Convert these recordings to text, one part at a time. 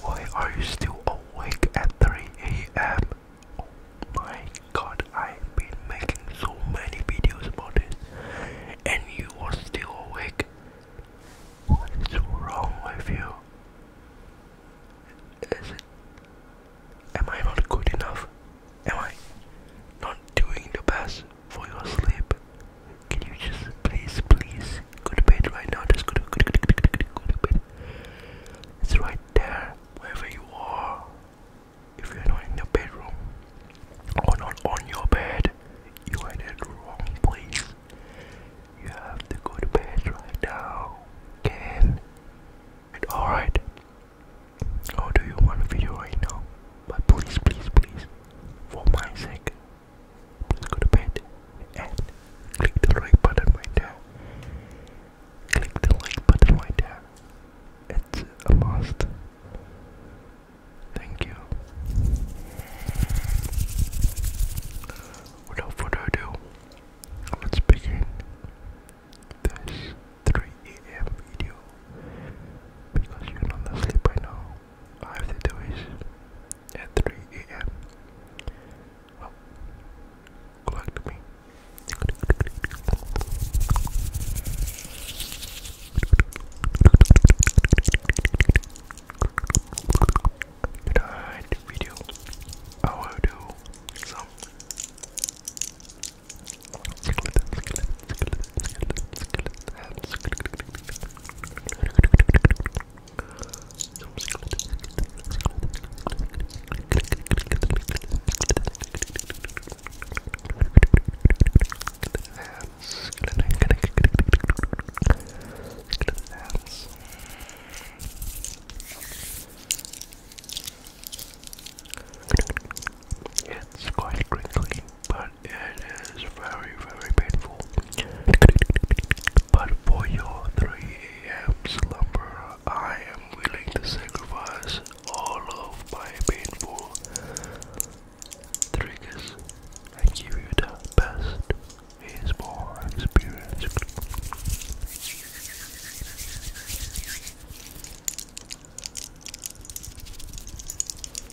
Why are you still awake at 3 a.m.? Oh my god, I've been making so many videos about this and you are still awake. What is wrong with you? Is it? Am I not good enough? Am I not doing the best? for your sleep. Can you just please, please go to bed right now? Just go to, go to, go to, bed. It's right there, wherever you are. If you're not in your bedroom or not on your bed, you are in the wrong place. You have to go to bed right now. Can it alright? Or do you want video right now? But please, please, please, for my sake, go to bed and click the like button right there. Click the like button right there. It's a must. Thank you. Without further ado, let's begin this 3 a.m. video because you're not asleep by now. I have to do is at 3 a.m. Well, good luck to me. video, I will do some it's quite crinkly but it is very, very painful. But for your 3 a.m. slumber, I am willing to sacrifice all of my painful triggers and give you the best more experienced.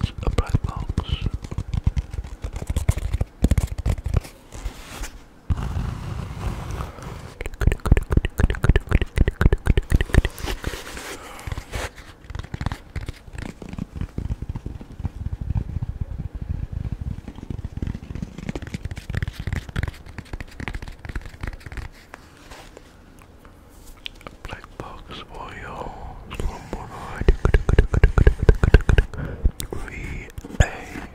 It's a black box. Black box for your slumber night. Three A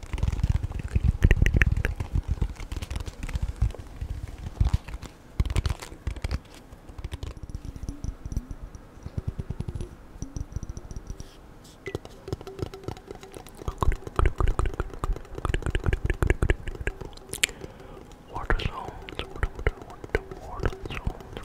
Water zones, water, water, water, water zones.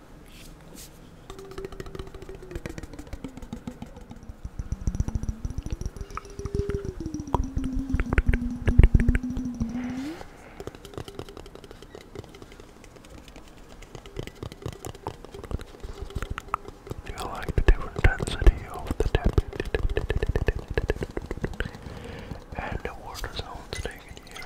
Do you like the different density of the tip and the water sounds taken here?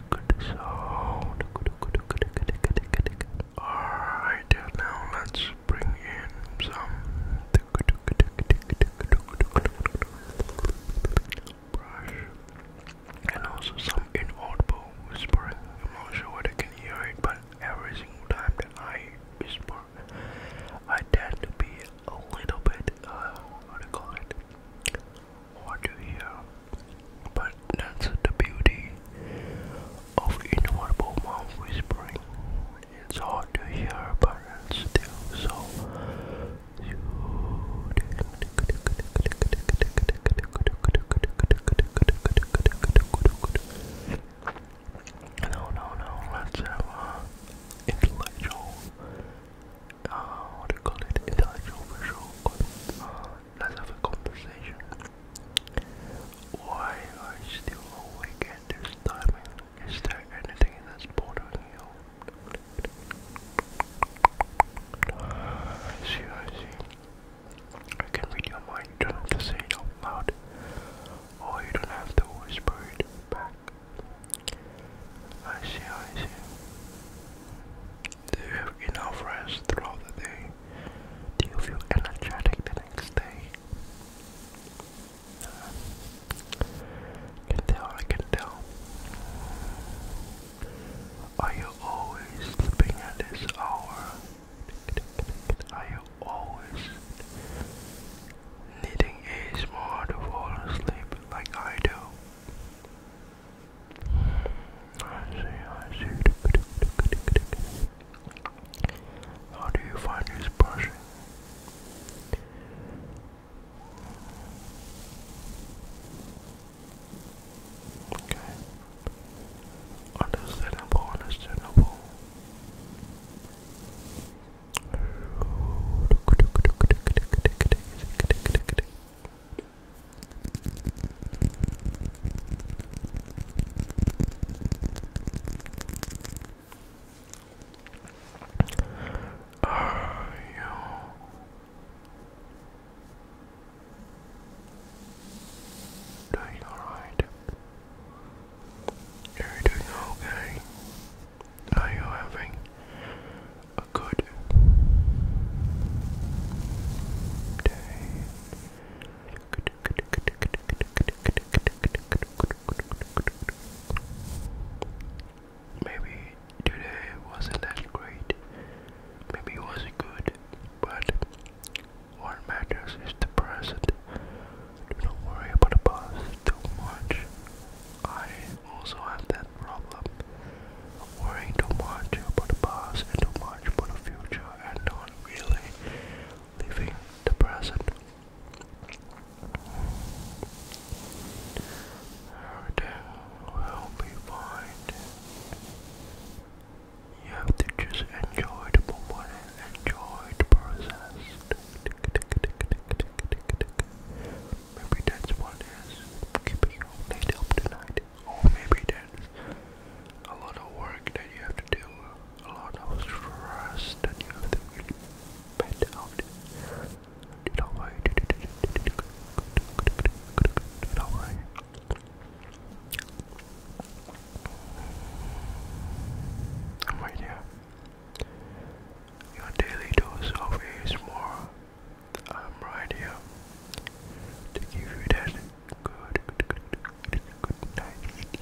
sound. Alright, now let's bring in some brush and also some inaudible whispering. I'm not sure whether I can hear it, but every single time that I whisper, I tend to be a little bit, uh, what do you call it? what you hear. But that's the beauty of inaudible mouth whispering. It's hard to hear, but it's still so No, no, no, let's have an intellectual, uh, what do call it, intellectual visual, uh, let's have a conversation. Why are you still awake at this time? Is there anything that's bothering you? I see, I see. I can read your mind, you don't have to say it out loud. Or oh, you don't have to whisper it back. I see, I see. Do you have enough rest throughout the day? Do you feel energetic the next day? I can tell, I can tell. Are you always sleeping at this hour? Are you always needing a small to fall asleep like I do? I see, I see. How do you find this brushing? Okay. Understandable, understandable. Are you doing alright? Are you doing okay? Are you having good Maybe today wasn't that great. Maybe it wasn't good, but what matters is the present. Do not worry about the past too much. I also have that that problem. Worrying too much about the past and too much about the future and not really living the present. Everything uh, will be fine. You have to just enjoy the moment enjoy the process. Maybe that's what is keeping you up tonight or oh, maybe there's a lot of work that you have to do, a lot of stress that you have to really bend out. Don't Your daily dose of ASMR I'm right here to give you that good, good, good, good, good night To give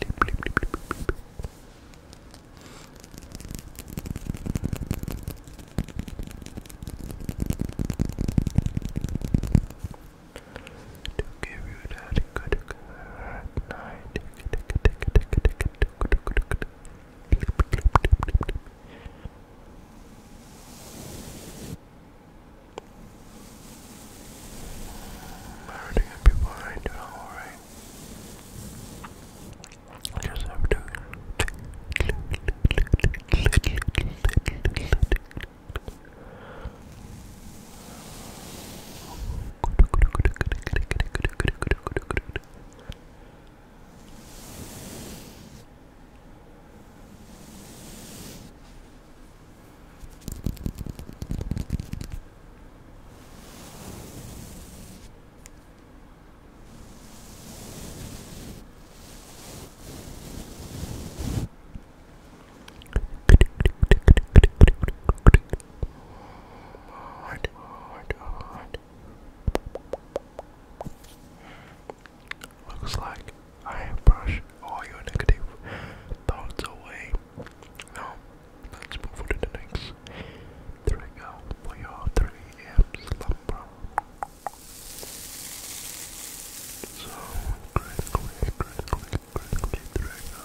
you that good, good night. Everything will be fine, doing alright. just have to Hard, hard, hard. Looks like I have brushed all your negative thoughts away. Now, let's move to the next. There go for your 3 a.m. slumber. So, critically, critically, critically, there go.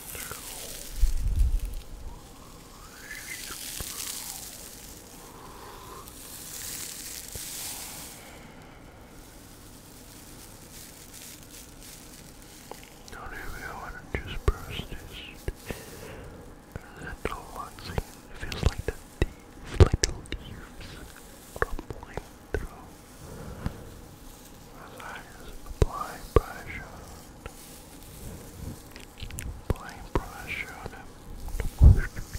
Don't want to just brush this. Little feels like the leaves, like the leaves crumbling through Relax, apply pressure. Apply pressure on him. Relax,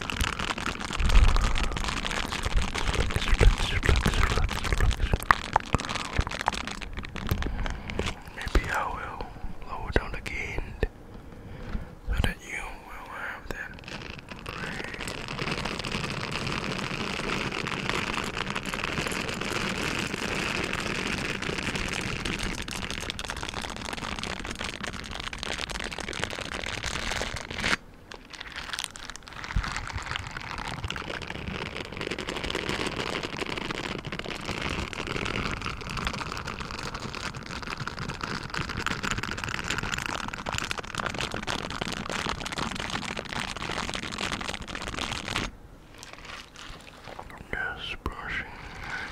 Maybe I will lower down again so that you will have that. Just brushing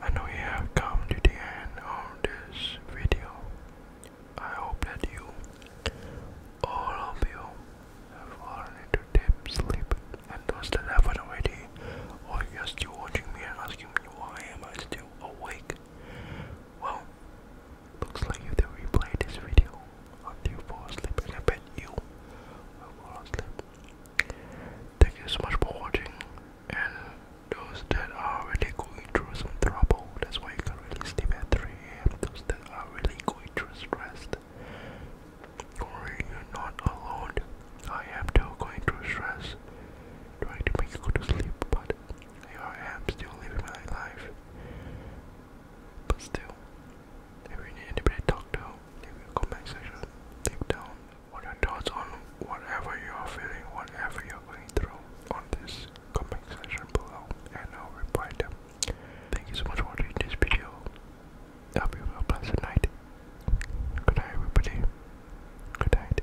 And we have come to the end of this video. I hope that you, all of you, have fallen into deep sleep. And those that haven't already, or you're still watching me and asking me why am I still awake? Well, looks like you have to replay this video until you asleep, I bet you will fall asleep. Thank you so much for watching, and those that are really going through some trouble, that's why you can really sleep at 3 a.m. Those that are really going through stress, don't worry, you're not alone. I am still going through stress, trying to make you go to sleep, but I am still living my life. But still, they will need anybody to talk to. Leave your comment section. Leave down what your thoughts on whatever you are feeling, whatever you are going through on this comment section below and I'll reply them. Thank you so much for watching this video. have a pleasant night. Good night everybody. Good night.